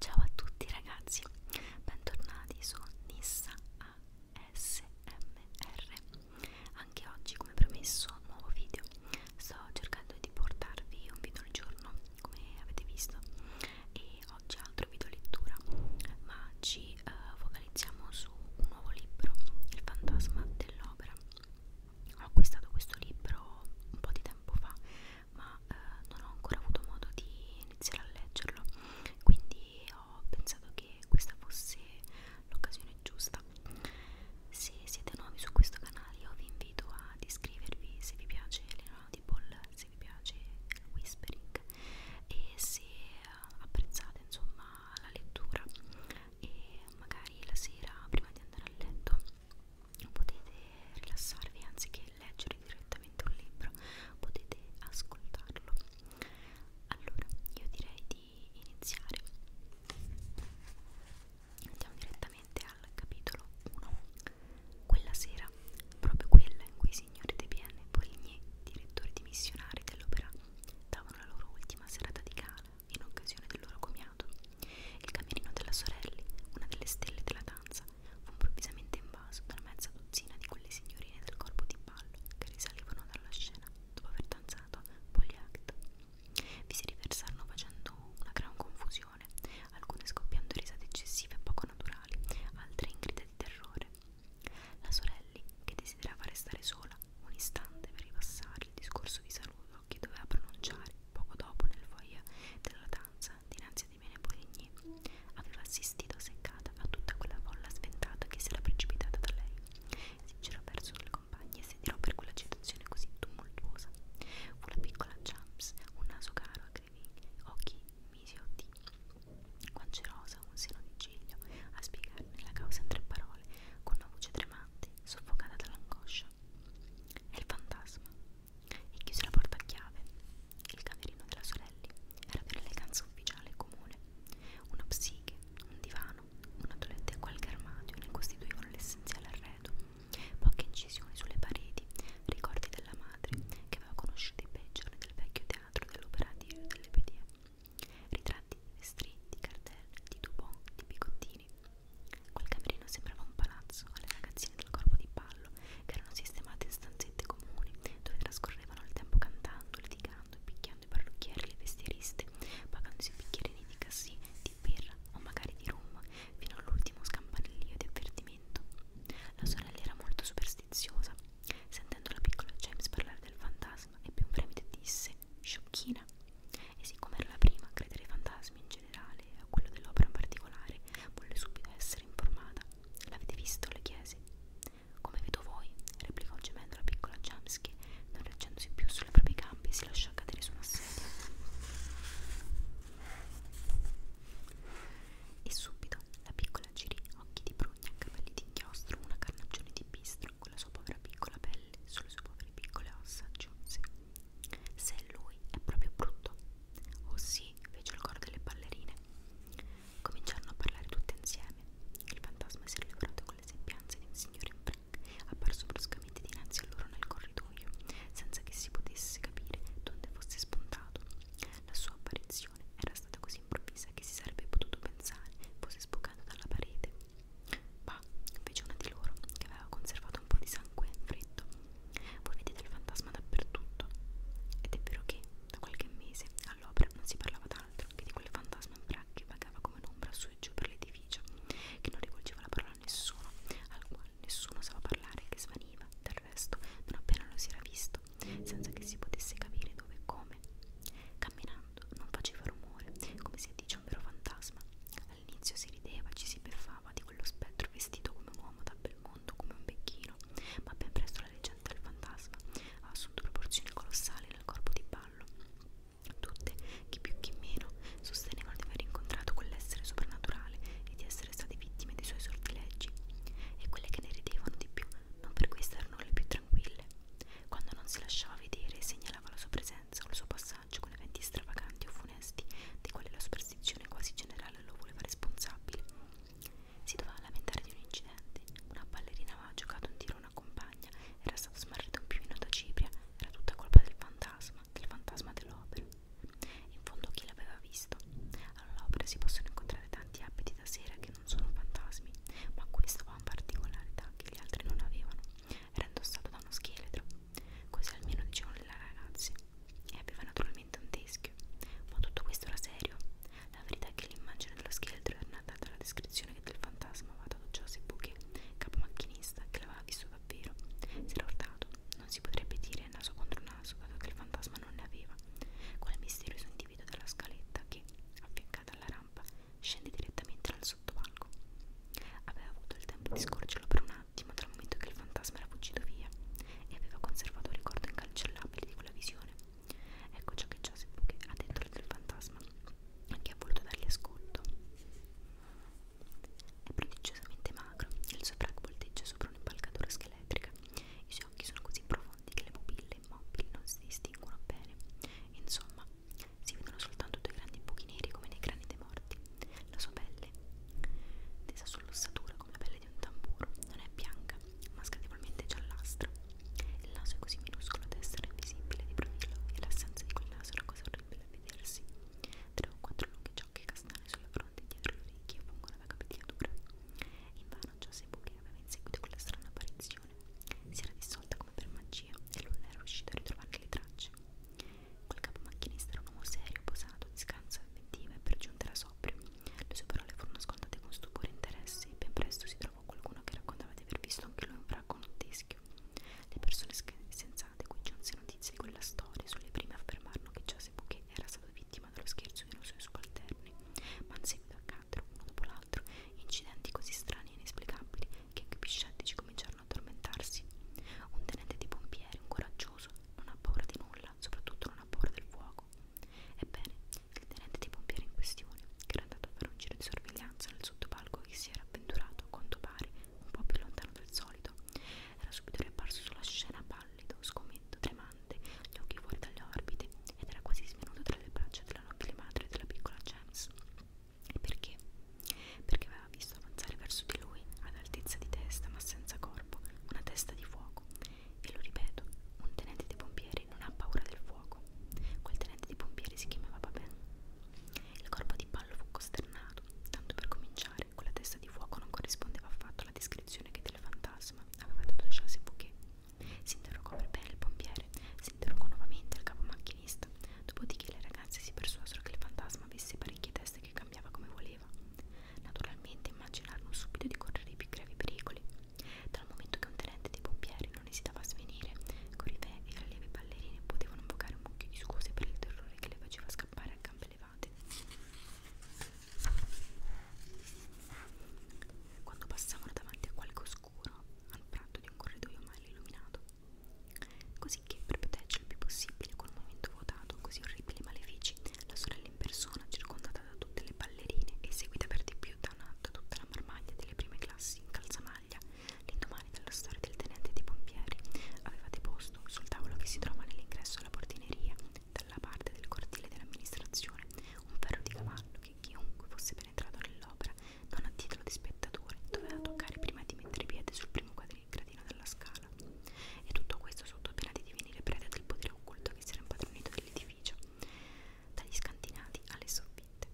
Ciao a tutti ragazzi, bentornati su Nissa ASMR. Anche oggi, come promesso, nuovo video. Sto cercando di portarvi un video al giorno, come avete visto, e oggi altro video lettura ma ci eh, focalizziamo su un nuovo libro Il fantasma dell'opera ho acquistato questo libro un po' di tempo fa ma eh, non ho ancora avuto modo di iniziare a leggerlo quindi ho pensato che questa fosse l'occasione giusta se siete nuovi su questo canale io vi invito ad iscrivervi se vi piace l'Enaudable, se vi piace il whispering e se apprezzate insomma la lettura e magari la sera prima di andare a letto potete rilassarvi anziché leggere direttamente un libro potete ascoltarlo allora io direi di iniziare andiamo direttamente al capitolo 1 quella sera, proprio quella in cui i signori De Bienne e Poligny, direttori dimissionari dell'opera, davano la loro ultima serata di gala in occasione del loro comiato, il camerino della Sorelli, una delle stelle della danza, fu improvvisamente invaso da una mezza dozzina di quelle signorine del corpo di ballo che risalivano dalla scena dopo aver danzato Poliact. Vi si riversarono facendo una gran confusione confusione, alcune scoppiando risate eccessive e poco naturali, altre in grida di terrore. La sorelli, che desiderava restare sola un istante per ripassare il discorso di saluto che doveva pronunciare poco dopo nel foyer della danza dinanzi a Dimene Poligny, aveva assistito seccata a tutta quella folla sventata che si era precipitata da lei. Si girò verso le compagne e si tirò per quella citazione così tumultuosa. Fu la piccola Jumps, un naso caro che orecchini, occhi misiotti, guance rosa, un seno di giglio, a spiegarne la causa in tre parole, con una voce tremante, soffocata dall'angoscia. È il fantasma. E chiuse la porta a chiave. Il camerino della sorelli era per l'eleganza ufficiale e comune. Una psiche, un divano, una toilette e qualche armadio ne costituivano l'essenziale arredo. Poche incisioni sulle pareti piedi, ricordi della madre che aveva conosciuto i peggiori del vecchio teatro dell'operativo delle pedie, ritratti stretti, cartelle, di Dubon, di bigottini. Quel camerino sembrava un palazzo alle ragazzine del corpo di ballo che erano sistemate in stanzette comuni dove trascorrevano il tempo cantando, litigando e picchiando i parrucchieri e le vestieriste, pagandosi i bicchierini di cassì, di birra o magari di rum fino all'ultimo scampanellio di avvertimento tradimento. La sorella era molto superstiziosa. Sentendo la piccola James parlare del fantasma, ebbe un fremito e disse: Sciocchina! E siccome era la prima a credere ai fantasmi in generale e a quello dell'opera in particolare, volle subito essere informata. L'avete visto? le chiese. Come vedo voi, replicò gemendo la piccola James che, non reggendosi più sulle proprie gambe, si lasciò cadere su una sedia. E subito la piccola girì occhi di prugna, capelli d'inchiostro, una carnagione di bistro con la sua povera piccola pelle sulle sue povere piccole ossa aggiunse. Se è lui è proprio brutto. Oh sì, fece il coro delle ballerine. Cominciarono a parlare tutte insieme. Il fantasma si era liberato con le sembianze di un signore in frac, apparso bruscamente dinanzi a loro nel corridoio, senza che si potesse capire donde fosse spuntato. La sua apparizione era stata così improvvisa che si sarebbe potuto pensare fosse sbucato dalla parete. Bah, fece una di loro che aveva conservato un po' di sangue freddo. Voi vedete il fantasma dappertutto. Ed è vero che da qualche mese all'opera non si parlava d'altro che di quel fantasma in braccio che vagava come un'ombra su e giù per l'edificio, che non rivolgeva la parola a nessuno, al quale nessuno sapeva parlare, che svaniva da del resto non appena lo si era visto, senza che si potesse capire dove e come. Camminando non faceva rumore, come si addice a un vero fantasma. All'inizio si rideva, ci si beffava di quello spettro vestito come un uomo da bel mondo, come un becchino, ma ben presto la leggenda del fantasma ha assunto proporzioni colossali nel corpo di ballo. Tutte, chi più chi meno, sostenevano di aver incontrato quell'essere soprannaturale e di essere essere state vittime dei suoi sortileggi e quelle che ne ridevano di più non per questo erano le più tranquille. Quando non si lasciava vedere segnalava la sua presenza o il suo passaggio con eventi stravaganti o funesti di quali la superstizione quasi generale lo voleva responsabile. Si doveva lamentare di un incidente, una ballerina aveva giocato un tiro a una compagna, era stato smarrito un piumino da cipria, era tutta colpa del fantasma, del fantasma dell'opera. In fondo chi l'aveva visto? All'opera si possono incontrare tanti abiti da sera che non sono fantasmi, ma questo aveva una particolarità che gli altri non avevano. Era indossato da uno scheletro. Così almeno dicevano le ragazze. E aveva naturalmente un teschio. Ma tutto questo era serio. La verità è che l'immagine dello scheletro era nata dalla descrizione che del fantasma aveva dato Joseph Bouquet, capo macchinista, che l'aveva visto davvero. Si era urtato, non si potrebbe dire naso contro naso, dato che il fantasma non ne aveva. Quel misterioso individuo della scaletta che, affiancata alla rampa, scende direttamente dal sottopalco. Aveva avuto il tempo di scorgerlo per un attimo dal momento che il fantasma era fuggito via e aveva conservato il ricordo incancellabile di quella visione. Ecco ciò che Joseph Buchet ha detto del fantasma, che ha voluto dargli ascolto. È prodigiosamente magro, il suo frac volteggia sopra un'impalcatura scheletrica. I suoi occhi sono così profondi che le pupille immobili non si distinguono bene. Insomma, si vedono soltanto due grandi buchi neri come nei crani dei morti. La sua pelle, tesa sull'ossatura come la pelle di un tamburo, non è bianca, ma scadevolmente giallastra. Il naso è così minuscolo da essere invisibile di profilo e l'assenza di quel naso è una cosa orribile a vedersi. Tre o quattro lunghi ciocche castane sulla fronte e dietro le orecchie fungono da capigliatura. Invano Giuseppe che aveva inseguito quella strana apparizione. Si era dissolta come per magia e lui non era riuscito a ritrovarne le tracce. Quel capo macchinista era un uomo serio, posato, di scanso effettiva e per giunta era sobrio. Le sue parole furono ascoltate con stupore e interesse e ben presto si trovò qualcuno che raccontava di aver visto anche lui un fracco teschio. Le persone sensate cui giunse notizie di quella storia sulle prime affermarono che ciò cose poiché era stato vittima dello scherzo dei suoi subalterni, ma in seguito accaddero, uno dopo l'altro, incidenti così strani e inesplicabili che anche i più scettici cominciarono a tormentarsi. Un tenente dei pompieri, un coraggioso, non ha paura di nulla, soprattutto non ha paura del fuoco. Ebbene, il tenente dei pompieri in questione, che era andato a fare un giro di sorveglianza nel sottopalco che si era avventurato, a quanto pare, un po' più lontano del solito, era subito riapparso sulla scena pallido, sgomento, tremante, gli occhi fuori dalle orbite ed era quasi svenuto tra le braccia della nobile madre della piccola James. E perché? Perché aveva visto avanzare verso di lui, ad altezza di testa ma senza corpo, una testa di fuoco. E lo ripeto, un tenente dei pompieri non ha paura del fuoco. Quel tenente dei pompieri si chiamava Papin. Il corpo di Pallo fu costernato, tanto per cominciare particolare, quella testa di fuoco non corrispondeva affatto alla descrizione che del fantasma aveva dato Joseph Bouquet. Si interrogò per bene il pompiere, si interrogò nuovamente il capo macchinista, dopodiché le ragazze si persuasero che il fantasma avesse parecchie teste che cambiava come voleva. Naturalmente immaginarono subito di correre i più gravi pericoli. Dal momento che un tenente dei pompieri non esitava a svenire, Corivè e le lieve ballerine potevano invocare un mucchio di scuse per il terrore che le faceva scappare a gambe levate arrivati quando passavano davanti a qualche oscuro al prato di un corridoio mal illuminato così che per proteggere il più possibile quel momento votato così orribili e malefici la sorella in persona circondata da tutte le ballerine e seguita per di più da, una, da tutta la marmaglia delle prime classi in calzamaglia l'indomani della storia del tenente dei pompieri aveva deposto sul tavolo che si trova nell'ingresso alla porta portineria, dalla parte del cortile dell'amministrazione, un ferro di cavallo che chiunque fosse penetrato nell'opera, non a titolo di spettatore, doveva toccare prima di mettere piede sul primo gradino della scala. E tutto questo sotto pena di divenire preda del potere occulto che si era impadronito dell'edificio, dagli scantinati alle soffitte.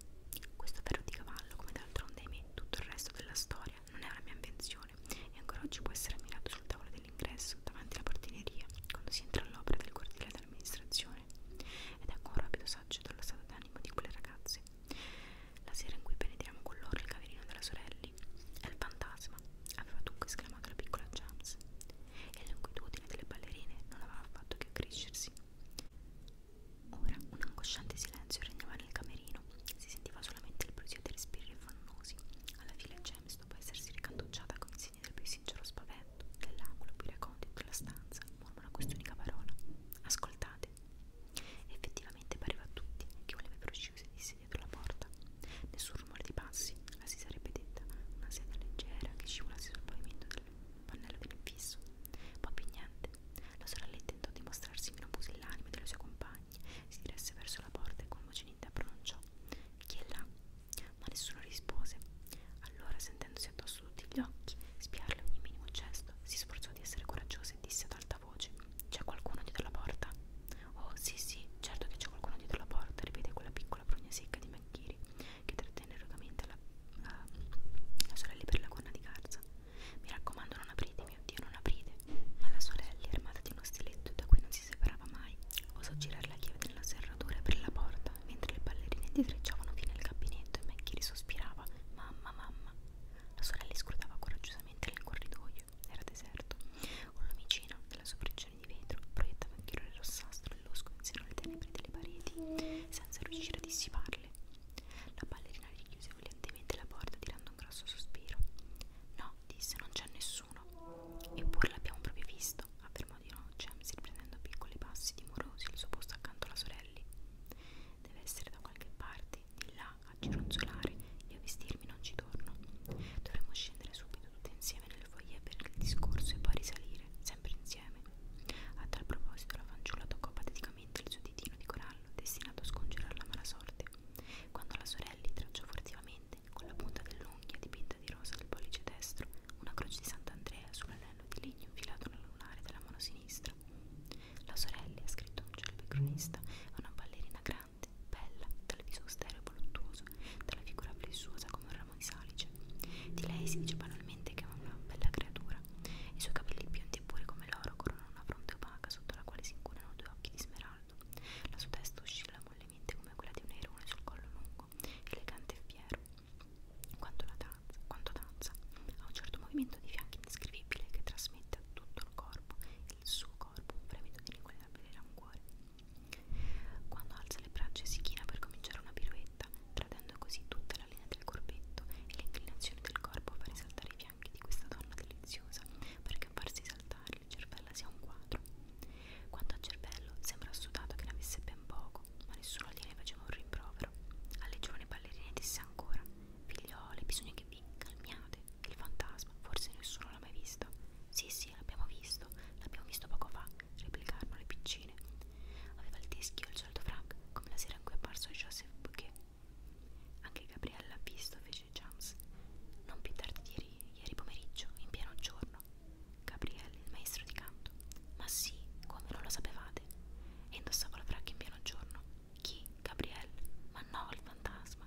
Questo ferro di cavallo, come d'altronde ahimè tutto il resto della storia, non è una mia invenzione stazione e ancora oggi può essere ammirato sul tavolo dell'ingresso davanti alla portineria quando si entra all'opera del cortile dell'amministrazione ed ecco un rapido saggio dallo stato d'animo di quelle ragazze la sera in cui penetriamo con loro il camerino della sorelli è il fantasma aveva dunque esclamato la piccola James e l'inquietudine delle ballerine non aveva fatto che accrescersi ora un angosciante silenzio regnava nel camerino respiro. Si sentiva solamente il brusio dei respiri affannosi. Alla fine James, dopo essersi ricantucciata con i segni del più sincero spavento, nell'angolo più recondito della stanza, mormora quest'unica parola. Ascoltate. Effettivamente pareva a tutti che un leve uscire sedisse dietro la porta. Nessun rumore di passi, la si sarebbe detta, una seta leggera che scivolasse sul pavimento del pannello dell'infisso. Poi più niente. La sorelletta tentò di mostrarsi meno pusillanime delle sue compagne compagni. Si diresse verso la porta e con voce netta pronunciò: Chi è là? Ma nessuno rispose. Allora, sentendosi addosso tutti gli occhi, spiarle ogni minimo gesto, si sforzò di essere coraggioso e disse ad alta voce: C'è qualcuno dietro la porta? Oh, sì, sì, certo che c'è qualcuno dietro la porta, ripete quella piccola prugna secca di McGeary che trattenne erogamente la, la, la sorella per la gonna di garza. Mi raccomando, non aprite, mio Dio, non aprite. Ma la sorella, armata di uno stiletto da cui non si separava mai, osò girare la chiave nella serratura e aprire la porta, mentre le ballerine indietreggiavano fino al gabinetto e Maggie sospirava, mamma, mamma. La sorella scrutava coraggiosamente nel corridoio, era deserto. Un lumicino, nella sua prigione di vetro, proiettava un chiarore rossastro e losco insieme alle tenebre delle pareti, senza riuscire a dissiparle. La ballerina richiuse violentemente la porta tirando un grosso sospiro. No, no, disse, non c'è nessuno. Eppure l'abbiamo proprio visto, affermò di no James, riprendendo piccoli passi timorosi il suo posto accanto alla sorelli. Deve essere da qualche parte, di là, a gironzolare, io a vestirmi non ci torno. Dovremmo scendere subito tutte insieme nel foyer per il discorso e poi risalire, sempre insieme. A tal proposito la fanciulla toccò pateticamente il suo ditino di corallo, destinato a scongiurare la mala sorte. Quando la sorelli tracciò furtivamente, con la punta dell'unghia dipinta di rosa del pollice destro, una croce di Sant'Andrea sull'anello di legno infilato nel lunare della mano sinistra. La sorelli ha scritto un celebre cronista a una ballerina grande, bella, dal viso austero e voluttuoso, dalla figura flessuosa come un ramo di salice. Di lei si dice banalmente che è una bella creatura. I suoi capelli biondi e puri come l'oro coronano una fronte opaca sotto la quale si incunano due occhi di smeraldo caldo. La sua testa oscilla mollemente come quella di un erone sul collo lungo, elegante e fiero. Quanto, la danza, quanto danza, ha un certo movimento di fianchi indescrivibile che trasmette a tutto il corpo, il suo corpo, un fremito di inguardabile rancuore. Quando alza le braccia e si china per cominciare una piruetta, tradendo così tutta la linea del corpetto e l'inclinazione del corpo a far risaltare i fianchi di questa donna deliziosa perché a farsi saltare le cervella sia un quadro. Quanto al cervello, sembra assodato che ne avesse ben poco, ma nessuno gliene faceva un rimprovero. Alle giovani ballerine disse ancora: Figliole, bisogna che vi calmiate. Il fantasma, forse nessuno l'ha mai visto. Sì, sì, l'abbiamo visto, l'abbiamo visto poco fa, replicarono le piccine. Aveva il teschio e il solito frac, come la sera in cui è apparso Joseph Bouquet anche Gabriella ha visto, fece James. Non più tardi di ieri, ieri pomeriggio, in pieno giorno. Gabriele, il maestro di canto. Ma sì, come non lo sapevate? E indossava la fracca in pieno giorno. Chi? Gabriele? Ma no, il fantasma.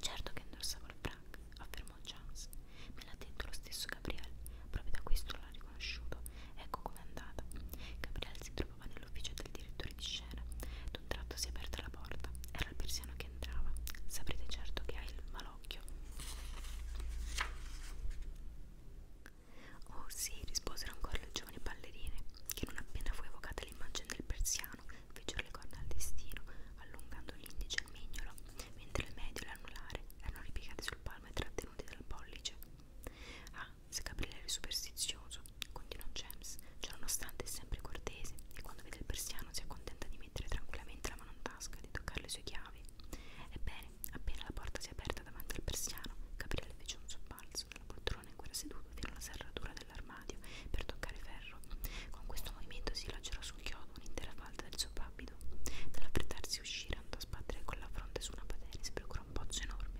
Certo che indossavo la fracca, affermò James. Me l'ha detto lo stesso Gabriele, proprio da questo l'ha riconosciuto. Ecco com'è andata. Gabriele si trovava nell'ufficio del direttore fuori di scena. D'un tratto si è aperta la porta. Era il persiano che entrava. Saprete certo che hai il malocchio. Oh sì, risposero ancora le giovani ballerine, che non appena fu evocata l'immagine del persiano, fecero le corna al destino, allungando l'indice e il mignolo, mentre il medio e l'anulare erano ripiegati sul palmo e trattenuti dal pollice. Ah, se Gabriele era superstizioso, continuò James, cioè nonostante è sempre cortese e quando vede il persiano si accontenta di mettere tranquillamente la mano in tasca e di toccare le sue chiavi. Ebbene, appena la porta si è aperta davanti al persiano, Gabriele fece un sobbalzo dalla poltrona in cui era seduto fino alla serratura dell'armadio per toccare ferro. Con questo movimento si lacerò sul chiodo un'intera falda del suo papido. Nell'affrettarsi a uscire andò a sbattere con la fronte su una patena e si procurò un pozzo enorme.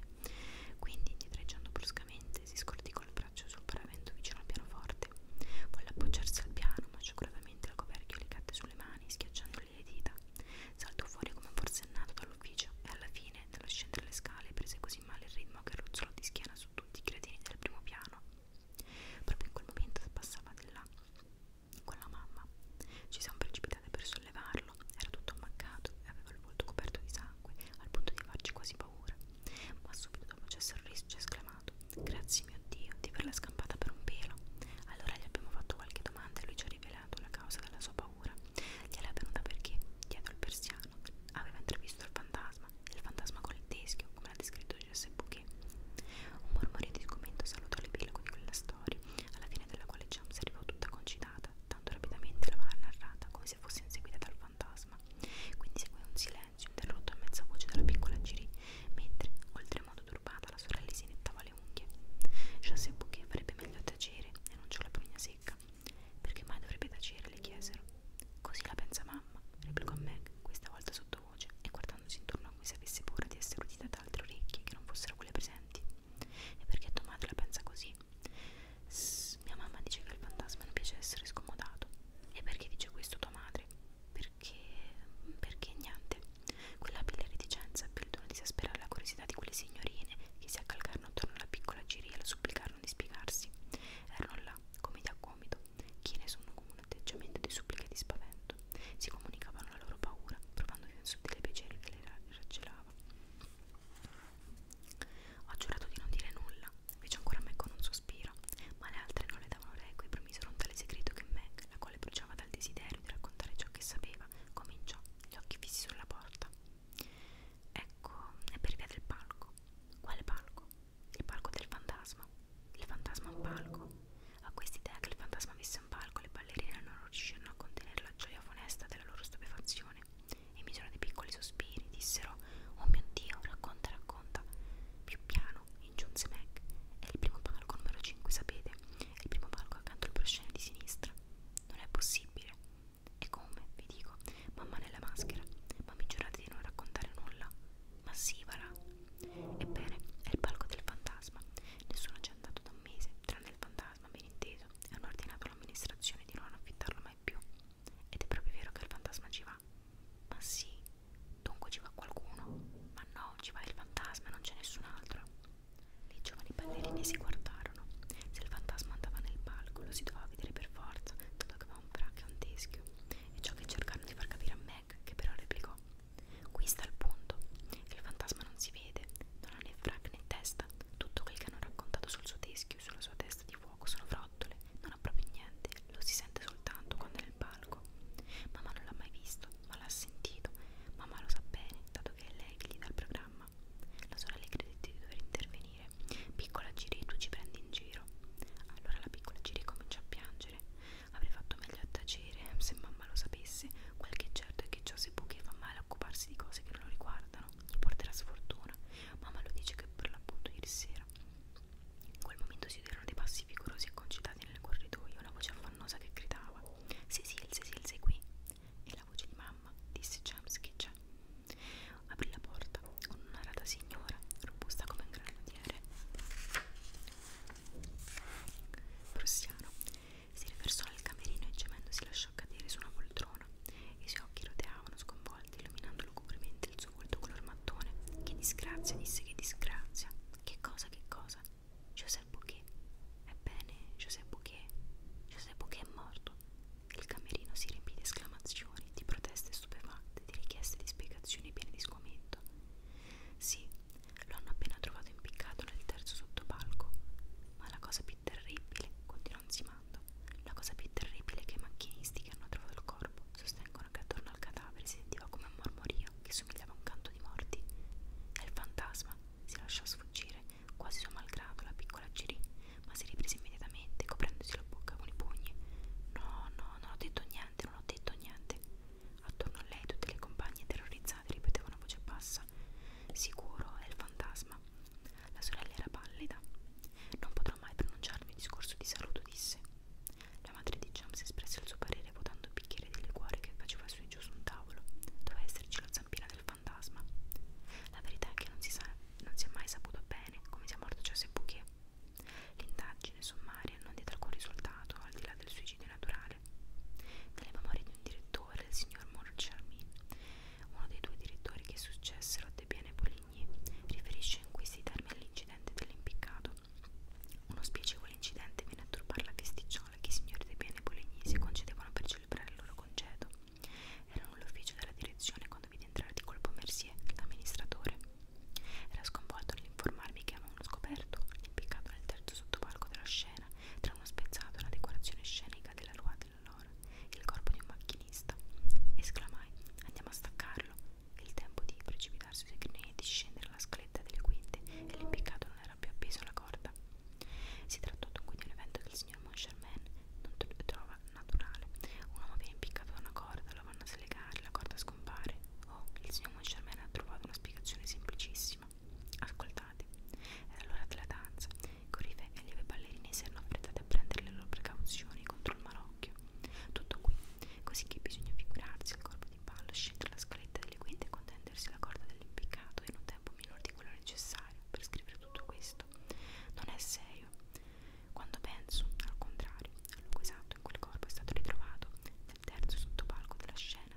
Quindi, indietreggiando bruscamente, si scorticò braccio sul paravento vicino al pianoforte. Volle appoggiarsi al piano, ma sciacuratamente il coperchio le cadde sulle mani, schiacciandogli le dita. Saltò fuori come forsennato dall'ufficio e alla fine, dallo scendere le scale, prese così male il ritmo che ruzzolò di schiena su tutti i gradini del primo piano. Proprio in quel momento passava di là con la mamma. Ci siamo precipitate per sollevarlo, era tutto ammaccato e aveva il volto coperto di sangue, al punto di farci quasi paura, ma subito dopo c'è sorriso e ci ha esclamato: Grazie mio Dio di averla scampata per un pelo. Allora gli abbiamo fatto qualche domanda e lui ci ha rivelato la causa della sua paura. Gliel'è venuta perché, dietro il persiano, aveva intravisto il fantasma, il fantasma con il teschio, come l'ha descritto Jesse Bouquet. Un mormorio di sgomento salutò l'epilogo di quella storia, alla fine della quale James arrivò tutta concitata, tanto rapidamente la va narrata come se fosse inseguita dal fantasma fantasma. Quindi segue un silenzio interrotto a mezza voce dalla piccola Giri, mentre, oltremodo turbata, la sorella si nettava le unghie. José Bouquet farebbe meglio a tacere, enunciò la prugna secca. Perché mai dovrebbe tacere? le chiesero. Così la pensa mamma, replicò Meg, questa volta sottovoce, e guardandosi intorno come se avesse paura di essere udita da altre orecchie che non fossero quelle presenti. E perché tua madre la pensa così? Sss, mia mamma dice che al fantasma non piace essere scomodato. E perché dice questo tua madre? Perché... perché niente. Quella pelle reticenza ebbe il dono di esasperare la curiosità di quelle signorine che si accalcarono attorno alla piccola Ciri e la supplicarono di spiegarsi. Erano là, gomiti a gomito, chine su un atteggiamento di supplica e di spavento. Si comunicavano la loro paura, provando che un sottile piacere che le raggelava. Ho giurato di non dire nulla, fece ancora me con un sospiro, ma le altre non le davano reco e promisero un tale segreto che Meg, la quale bruciava dal desiderio di raccontare ciò che sapeva, cominciò, gli occhi fissi sulla porta. Ecco, è per via del palco. Quale palco? Il palco del fantasma. Il fantasma è un palco. A quest'idea che il fantasma avesse un palco, le ballerine non riuscirono a contenere la gioia funesta della loro stupefazione emisero dei piccoli sospiri, dissero Oh mio Dio, racconta, racconta. Più piano, ingiunse Meg, è il primo palco numero 5, sapete? È il primo palco accanto al proscene di sinistra. Non è possibile. E come, vi dico, mamma nella maschera. Ma mi giurate di non raccontare nulla? Ma sì, va là. Ebbene, è il palco del fantasma. Nessuno ci è andato da un mese, tranne il fantasma, ben inteso. Hanno ordinato all'amministrazione di non affittarlo mai più. Ed è proprio vero che il fantasma ci va. Ma sì, dunque ci va qualcuno. Ma no, ci va il fantasma, non c'è nessun altro. I giovani ballerini si guardarono. Se il fantasma andava nel palco, lo si doveva vedere per forza, tanto che aveva un braccio e un teschio. E ciò che cercarono di far capire a Meg, che però replicò. Qui sta il punto. Il fantasma non si vede, non ha né frac né testa. Tutto quel che hanno raccontato sul suo teschio e sulla sua testa di fuoco sono frottole non ha proprio niente, lo si sente soltanto quando è nel palco. Mamma non l'ha mai visto, ma l'ha sentito. Mamma lo sa bene, dato che è lei che gli dà il programma. La sorella le credette di dover intervenire. Piccola Giri, tu ci prendi in giro. Allora la piccola Giri comincia a piangere. Avrei fatto meglio a tacere, se mamma lo sapesse. Quel che certo è che ciò si può che fa male a occuparsi di cose che non lo riguardano gli porterà sfortuna. Mamma lo dice che per l'appunto ieri sera. In quel momento si udirono dei passi vigorosi e concitati nel corridoio, una voce affannosa che gridava: Cecil, Cecil, sei qui? E la voce di mamma disse: James, chi c'è? Aprì la porta un'arata signora, robusta come un granatiere prussiano. Si riversò nel camerino e gemendo si lasciò cadere su una poltrona. Leona. I suoi occhi roteavano sconvolti, illuminando lugubremente il suo volto color mattone. Che disgrazia, disse che disgrazia. Che cosa, che cosa? Joseph Bouquet. Ebbene, Joseph Bouquet. Joseph Bouquet è morto. Il camerino si riempì di esclamazioni, di proteste stupefatte, di richieste di spiegazioni piene di sgomento. Sì, lo hanno appena trovato impiccato nel terzo sottopalco. Ma la cosa più terribile, continuò Zima, parlando. La cosa più terribile è che i macchinisti che hanno trovato il corpo sostengono che attorno al cadavere si sentiva come un mormorio che somigliava a un canto di morti. E il fantasma si lasciò sfuggire, quasi suo malgrado, la piccola Giri, ma si riprese immediatamente, coprendosi la bocca con i pugni. No, no, non ho detto niente, non ho detto niente. Attorno a lei tutte le compagne terrorizzate ripetevano a voce bassa. Sicuro è il fantasma. La sorella era pallida. Non potrò mai pronunciarmi il discorso di saluto, disse. La madre di James espresse il suo parere vuotando il bicchiere di liquore che faceva su e giù su un tavolo. Doveva esserci la zampina del fantasma. La verità è che non si, sa, non si è mai saputo bene come sia morto Joseph Bouquet. L'indagine sommaria non diede alcun risultato al di là del suicidio naturale. Nelle memorie di un direttore, il signor Morcharmin, uno dei due direttori che successero a De Biene Polini, Savigny, riferisce in cui si termina l'incidente dell'impiccato. Uno spiacevole incidente viene a turbare la festicciola che i signori dei bene bolognesi concedevano per celebrare il loro congedo. Era nell'ufficio della direzione quando vide entrare di colpo Mercier, l'amministratore. Era sconvolto nell'informarmi che avevano scoperto l'impiccato nel terzo sottopalco della scena, tra uno spezzato e una decorazione scenica della ruota allora il corpo di un macchinista. Esclamai: Andiamo a staccarlo. Il tempo di precipitarsi sui grinelli e di scendere la scaletta delle quinte e l'impiccato non era più appeso alla corda. Si trattò dunque di un evento che il signor Moncharman non trova naturale. Un uomo viene impiccato da una corda, lo vanno a slegare, la corda scompare. Oh, il signor Moncharman ha trovato una spiegazione semplicissima. Ascoltate, era l'ora della danza Corife e le ballerine si erano affrettate a prendere le loro precauzioni contro il malocchio. Tutto qui, così che bisogna figurarsi il corpo di ballo, scendere la scaletta delle quinte e contendersi la corda dell'impiccato in un tempo minore di quello necessario per scrivere tutto questo. Non è serio. Quando penso, al contrario, al luogo esatto in cui il corpo è stato ritrovato, nel terzo sottopalco della scena,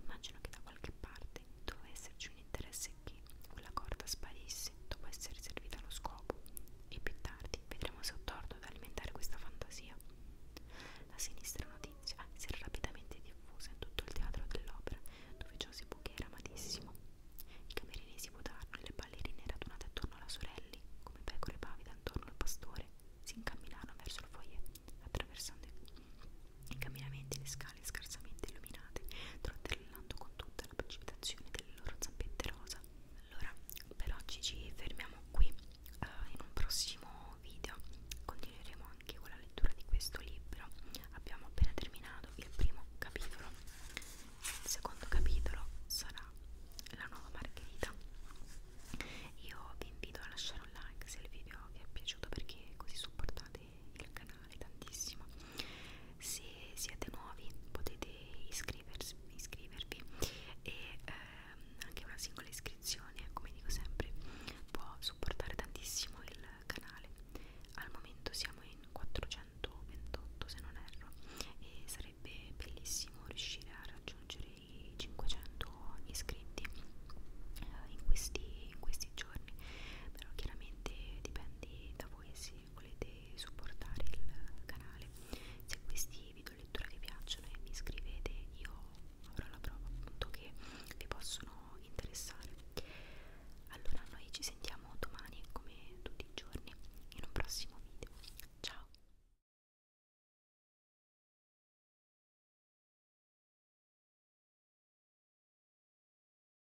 immagino che da qualche parte doveva esserci un interesse successe che quella corda sparisse dopo essere servita allo scopo e più tardi vedremo se ho torto ad alimentare questa fantasia. La sinistra notizia si era rapidamente diffusa in tutto il teatro dell'opera dove Joseph Bouquet era amatissimo. I camerini si votarono e le ballerine radunate attorno alla sorella, come pecore pavide attorno al pastore, si incamminarono verso il foyer attraversando i camminamenti e le scale laterali scarsamente illuminate, trottellando con tutta la precipitazione delle loro zampette rosa. Allora, per oggi ci fermiamo qui. Uh, in un prossimo video continueremo anche con la lettura di questo libro. Abbiamo appena terminato il primo capitolo. Il secondo capitolo sarà la nuova margherita. Io vi invito a lasciare un like se il video vi è piaciuto perché così supportate il canale tantissimo se siete nuovi potete iscrivervi e ehm, anche una singola iscrizione come dico sempre può supportare tantissimo il canale al momento siamo in 428 se non erro e sarebbe bellissimo riuscire a raggiungere i 500 iscritti eh, in, questi, in questi giorni però chiaramente dipende da voi se volete supportare il canale se questi video lettura vi piacciono e vi iscrivete io avrò la prova appunto che vi possono interessare allora noi ci sentiamo domani come tutti i giorni in un prossimo video ciao